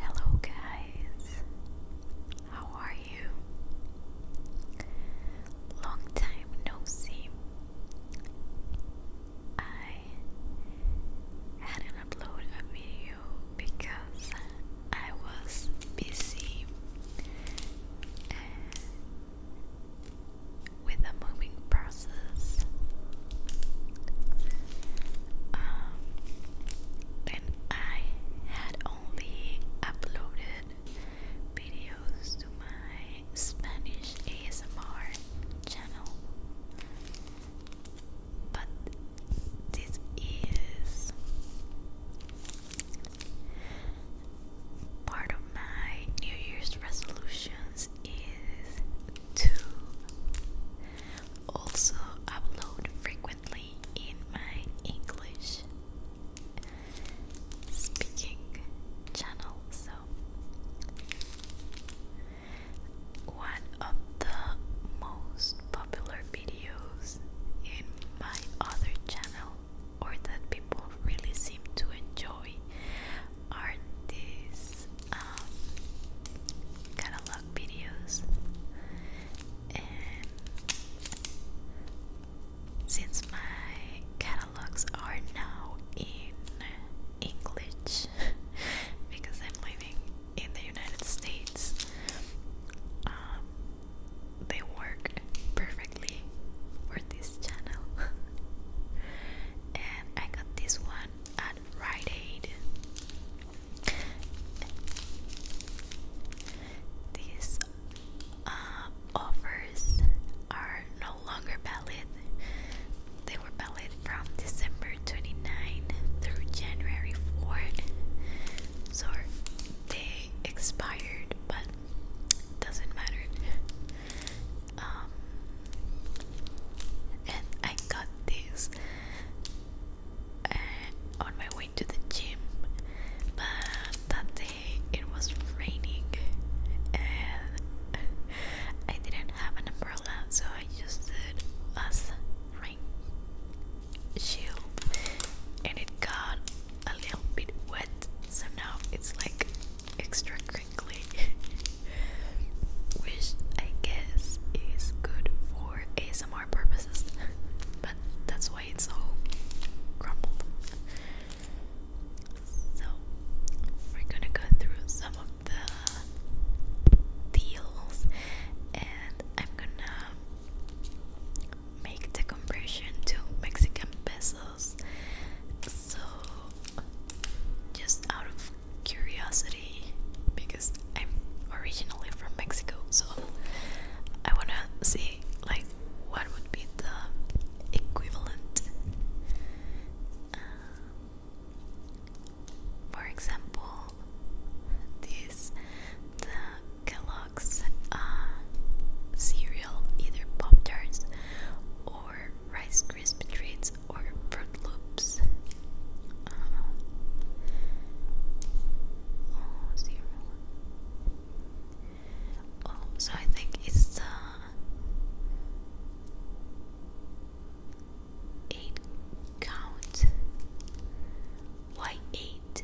Hello, guys. How are you? Long time no see. I hadn't uploaded a video because I was busy uh, with a moving project. Um, and I had only uploaded videos to my Spanish ASMR channel, but this is part of my New Year's resolutions is to also upload frequently in my English speaking channel. So, one of the most popular videos in my other channel, or that people really seem to enjoy, are these catalog videos, and since my catalogs are now in English because I'm living in the United States, um, they work perfectly for this channel. and I got this one at Rite Aid. These uh, offers are no longer valid. They were valid from December 29 through January 4. So they expired, but doesn't matter um, and I got this uh, on my way to the gym, but that day it was raining and I didn't have an umbrella, so I just it as rain shield, and it got a little bit wet, so now it's like extra crinkly. which I guess is good for ASMR purposes, but that's why it's so crumpled. So, we're gonna go through some of the deals and I'm gonna make the conversion to Mexican pesos so, just out of curiosity, because I'm originally from Mexico, so I wanna see like what would be the equivalent. Um, for example, this Kellogg's uh, cereal, either Pop Tarts or rice Krispies. Rice treats or fruit loops. Uh-huh. oh, zero. Oh, so I think it's uh, eight count. Why eight?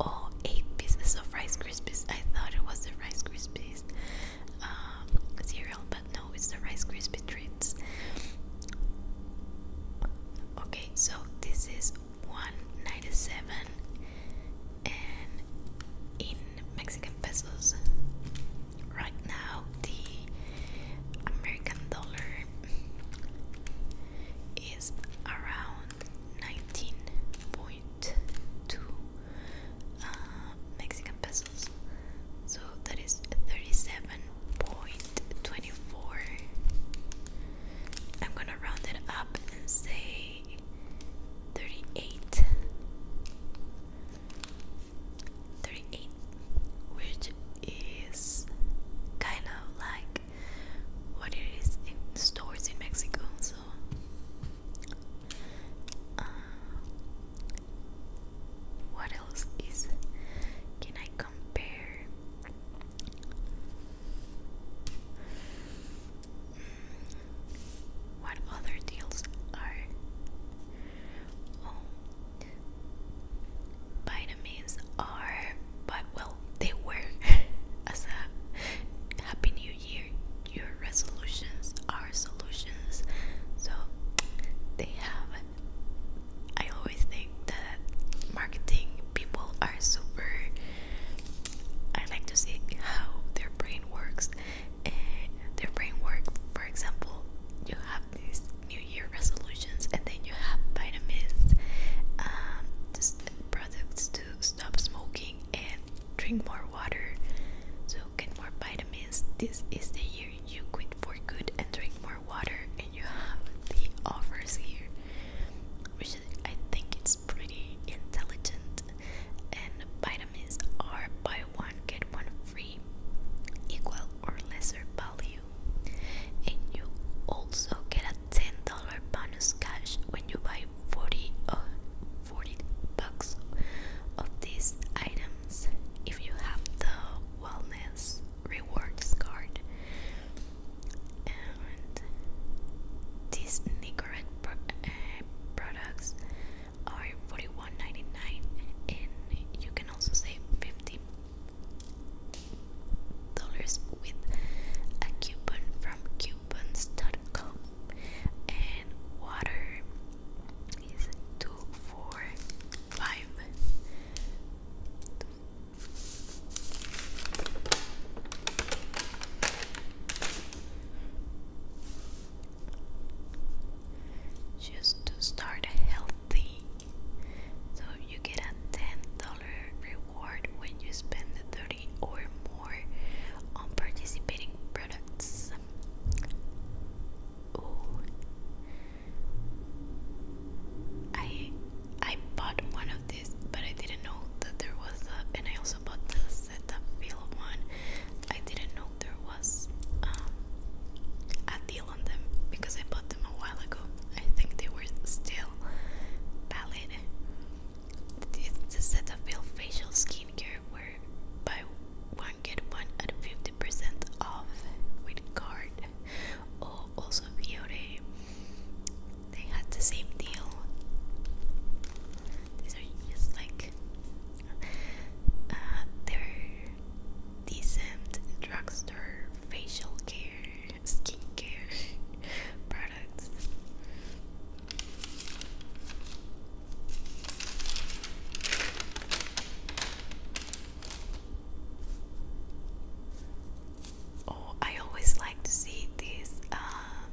Oh, eight pieces of Rice Krispies. I thought it was the Rice Krispies. Um, cereal, but no, it's the Rice Krispie treats. Okay, so this is 197 and in Mexican pesos. Right now, the American dollar is around 19.2 uh, Mexican pesos. So that is 37.24. I'm gonna round it up and say 38. which is kind of like what it is in stores in Mexico. So, uh, what else is can I compare? Mm, what other deals are? Oh, vitamins are, but well, they were as happy new year your resolutions are solutions. So they have. I always think that marketing people are super. I like to see how their brain works. And their brain works, for example, you have these New Year resolutions, and then you have vitamins, um, just products to stop smoking and drink more water. So milk more vitamins. This is the year you quit for good and drink more water, and you have the offers here, which I think it's pretty intelligent. And vitamins are buy one get one free, equal or lesser value, and you also get a ten dollar bonus cash when you buy forty uh, 40 bucks of these items if you have the wellness rewards card and these Nicorette eh, products are 41.99 and you can also save 50 dollars with a coupon from coupons.com and water is two, four, five. Just to start healthy, so you get a ten dollar reward when you spend thirty or more on participating products. I I bought one of these, but I didn't know that there was a. And I also bought the Cetaphil one. I didn't know there was um, a deal on them because I bought them a while ago. I think they were still valid. It's the Cetaphil facial skincare where by get one at 50% off with card. Oh, also Beauty. They had the same deal. These are just like uh, decent drugstore facial care, skincare products. Oh, I always like to see this uh, um,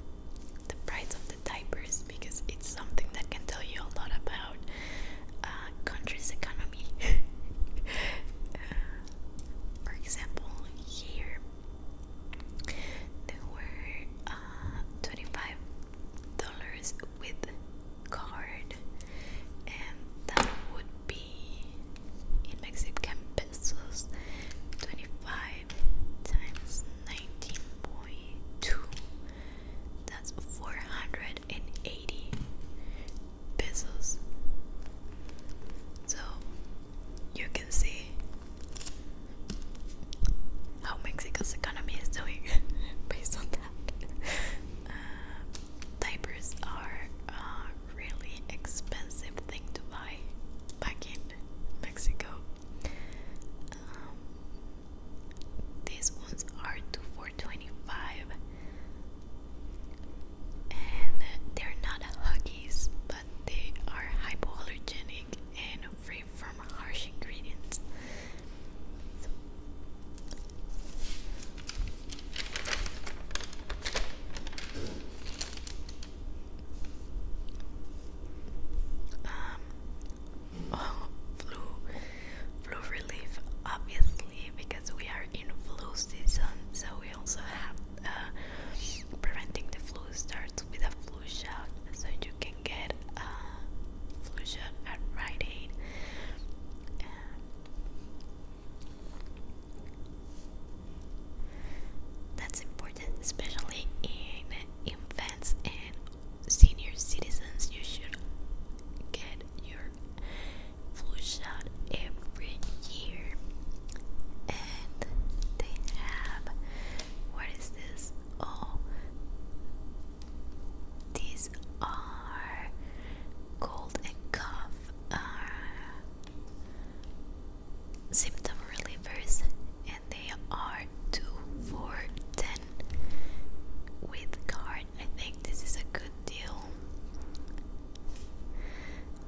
the price of the diapers because it's something that can tell you a lot about a uh, country's economy. Uh, for example, here there were uh, 25 dollars with card and that would be in Mexican pesos 25 times 19.2 that's 480 pesos so you can see how Mexico's economy is doing based on that. Uh, diapers are a really expensive thing to buy back in Mexico. Um, these ones are two for and they're not huggies, but they are hypoallergenic and free from harsh ingredients. Um, oh, flu, flu relief, obviously, because we are in flu season, so we also have uh, preventing the flu starts with a flu shot, so you can get a uh, flu shot at Rite Aid. that's important, especially in infants and senior citizens. You should get your flu shot every year. And they have what is this? these these are cold and cough uh, are symptom relievers and they are two for ten with card. I think this is a good deal.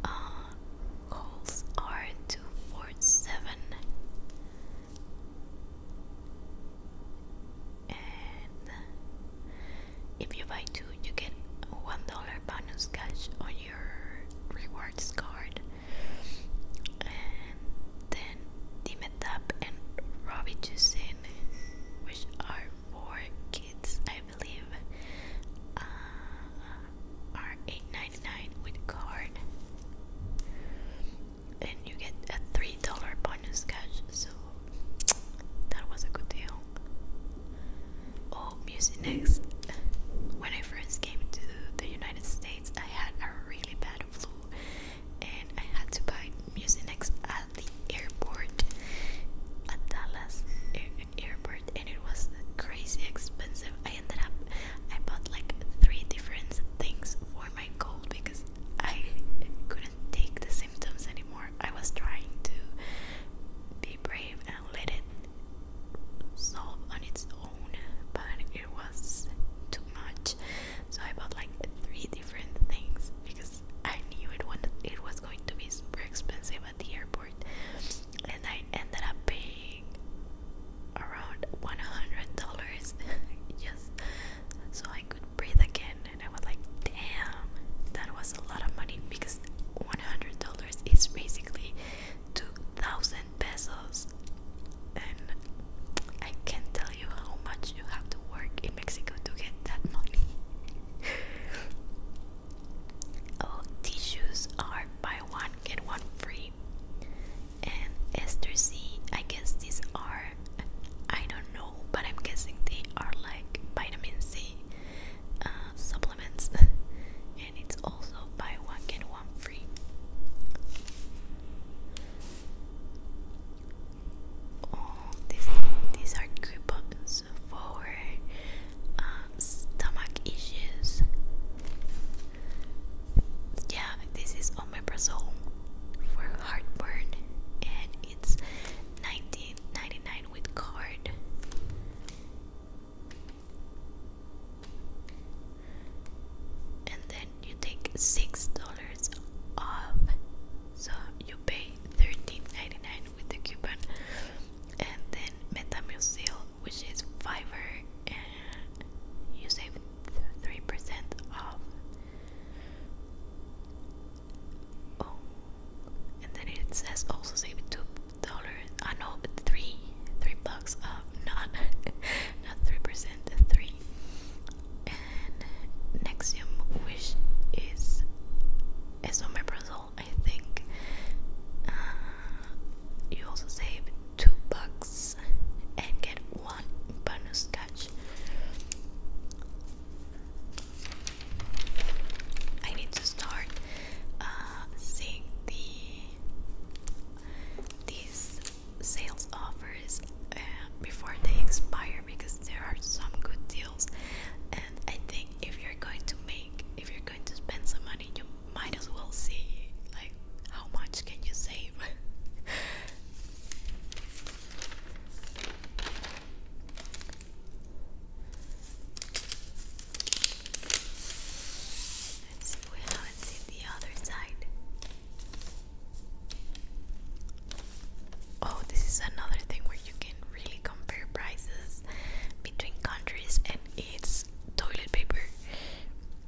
Uh, calls are two four seven and if you buy two you get one dollar bonus cash on your rewards card and then Dimetap and Robitussin which are for kids I believe uh, are 8.99 with card and you get a three dollar bonus cash. So that was a good deal. Oh, Musinex. When I first came to the United States, I had a really bad flu, and I had to buy Musinex at the airport, at Dallas airport, and it was crazy expensive. I ended up I bought like three different things for my cold because I couldn't take the symptoms anymore. I was trying to be brave and let it solve on its own, but it was too much. So I bought like three different things because I knew it it was going to be super expensive at the airport, and I ended up paying around one hundred dollars just so I could breathe again and I was like damn that was a lot of money because one hundred dollars is basically two thousand pesos and I can't tell you how much you have to work in Mexico to get that money. oh tissues are buy one get one free and ester C. I guess these are, I don't know, but I'm guessing they are like vitamin C uh, supplements, and it's also buy one get one free. Oh, these these are coupons for uh, stomach issues yeah, this is omeprazole for heartburn, and it's 19.99 with card. And then you take six dollars off, so you pay 13.99 with the coupon, and then Metamucil, which is fiber you save three percent off. Oh, and then it says also save two dollars. I know three, three bucks off. Not, not three percent. Three. And Nexium, which is esomeprazole, I think. Uh, you also save two bucks and get one bonus catch. I need to start uh, seeing the these sales offers uh, before they expire because there are some good deals, and I think if you're going to make, if you're going to spend some money, you might as well see like how much can you save. Let's see, we haven't seen the other side. Oh, this is another thing where you can really compare prices between countries, and it's toilet paper.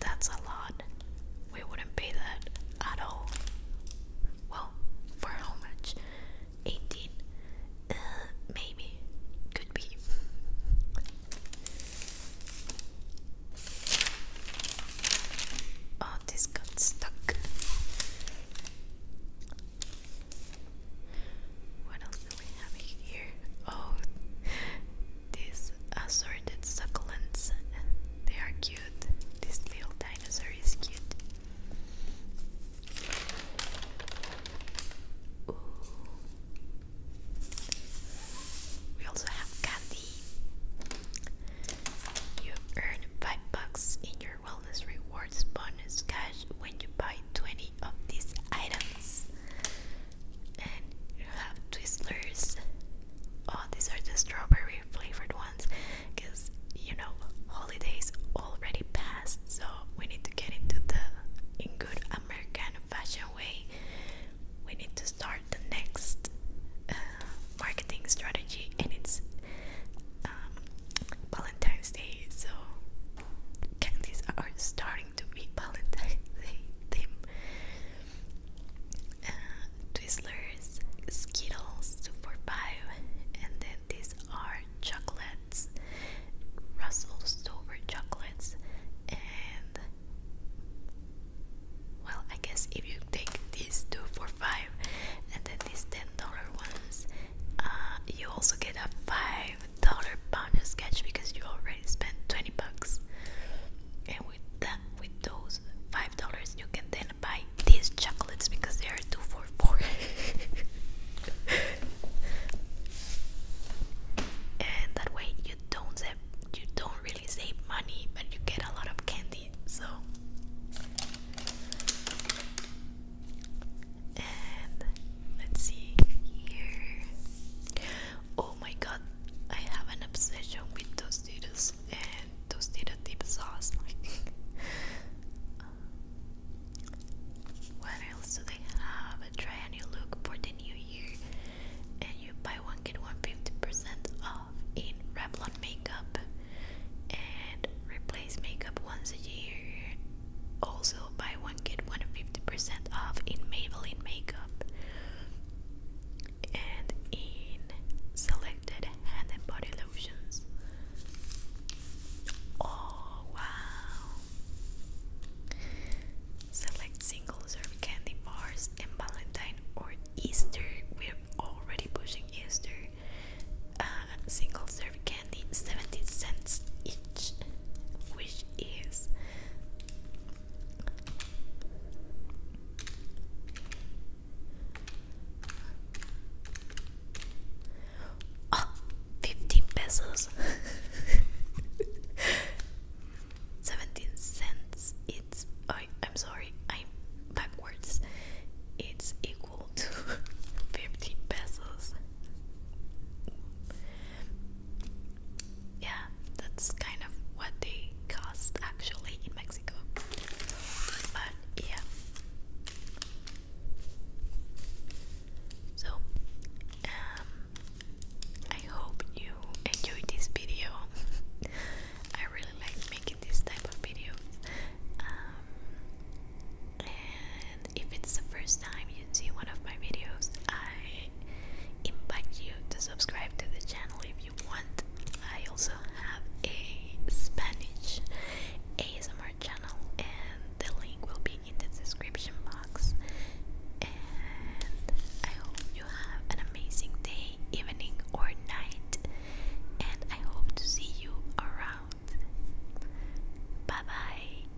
That's a lot. We wouldn't pay that at all. Well, for how much? 18? Uh, maybe. Could be. Oh, this got stuck. What else do we have here? Oh, these assorted succulents. They are cute. This little dinosaur is cute. We also have candy. You earn 5 bucks in your wellness rewards bonus cash when you buy 20 of these items. You have Twizzlers. Oh, these are the strawberry flavored ones because you know holidays already passed, so we need to get into the in good American fashion way. We need to start the next uh, marketing strategy, and it's um, Valentine's Day. So candies are starting to be Valentine's theme. Twizzlers, Skittles, 2 for 5, and then these are chocolates, Russell Stover chocolates, and well, I guess if you take these 2 for 5 and then these $10 ones, uh, you also get a 5 a dollar pound sketch because you already spent 20 bucks and with that with those five dollars you can then buy these chocolates because they are two for four and that way you don't save, you don't really save money but you get a lot of candy so Let's see here. Oh my god, I have an obsession with Tostitos and Tostito dip sauce. um, else do they have? Try new look for the new year, and you buy one get one fifty percent off in Revlon makeup, and replace makeup once a year. Also buy one get one fifty percent off in Maybelline makeup and in selected hand and body lotions. Oh wow! Select single serve candy bars and Valentine or Easter. We're already pushing Easter. Uh, single serve candy, seventy cents each, which is Oh, pesos. 17 cents. It's I'm sorry. I'm backwards. It's equal to 15 pesos yeah, that's kind of what they cost actually in Mexico. But yeah. So, um, I hope you enjoyed this video. I really like making this type of videos. Um, and if it's the first time you see one of my videos, I invite you to subscribe to the channel if you want. I also have a Spanish ASMR channel, and the link will be in the description box. And I hope you have an amazing day, evening, or night. And I hope to see you around. Bye bye.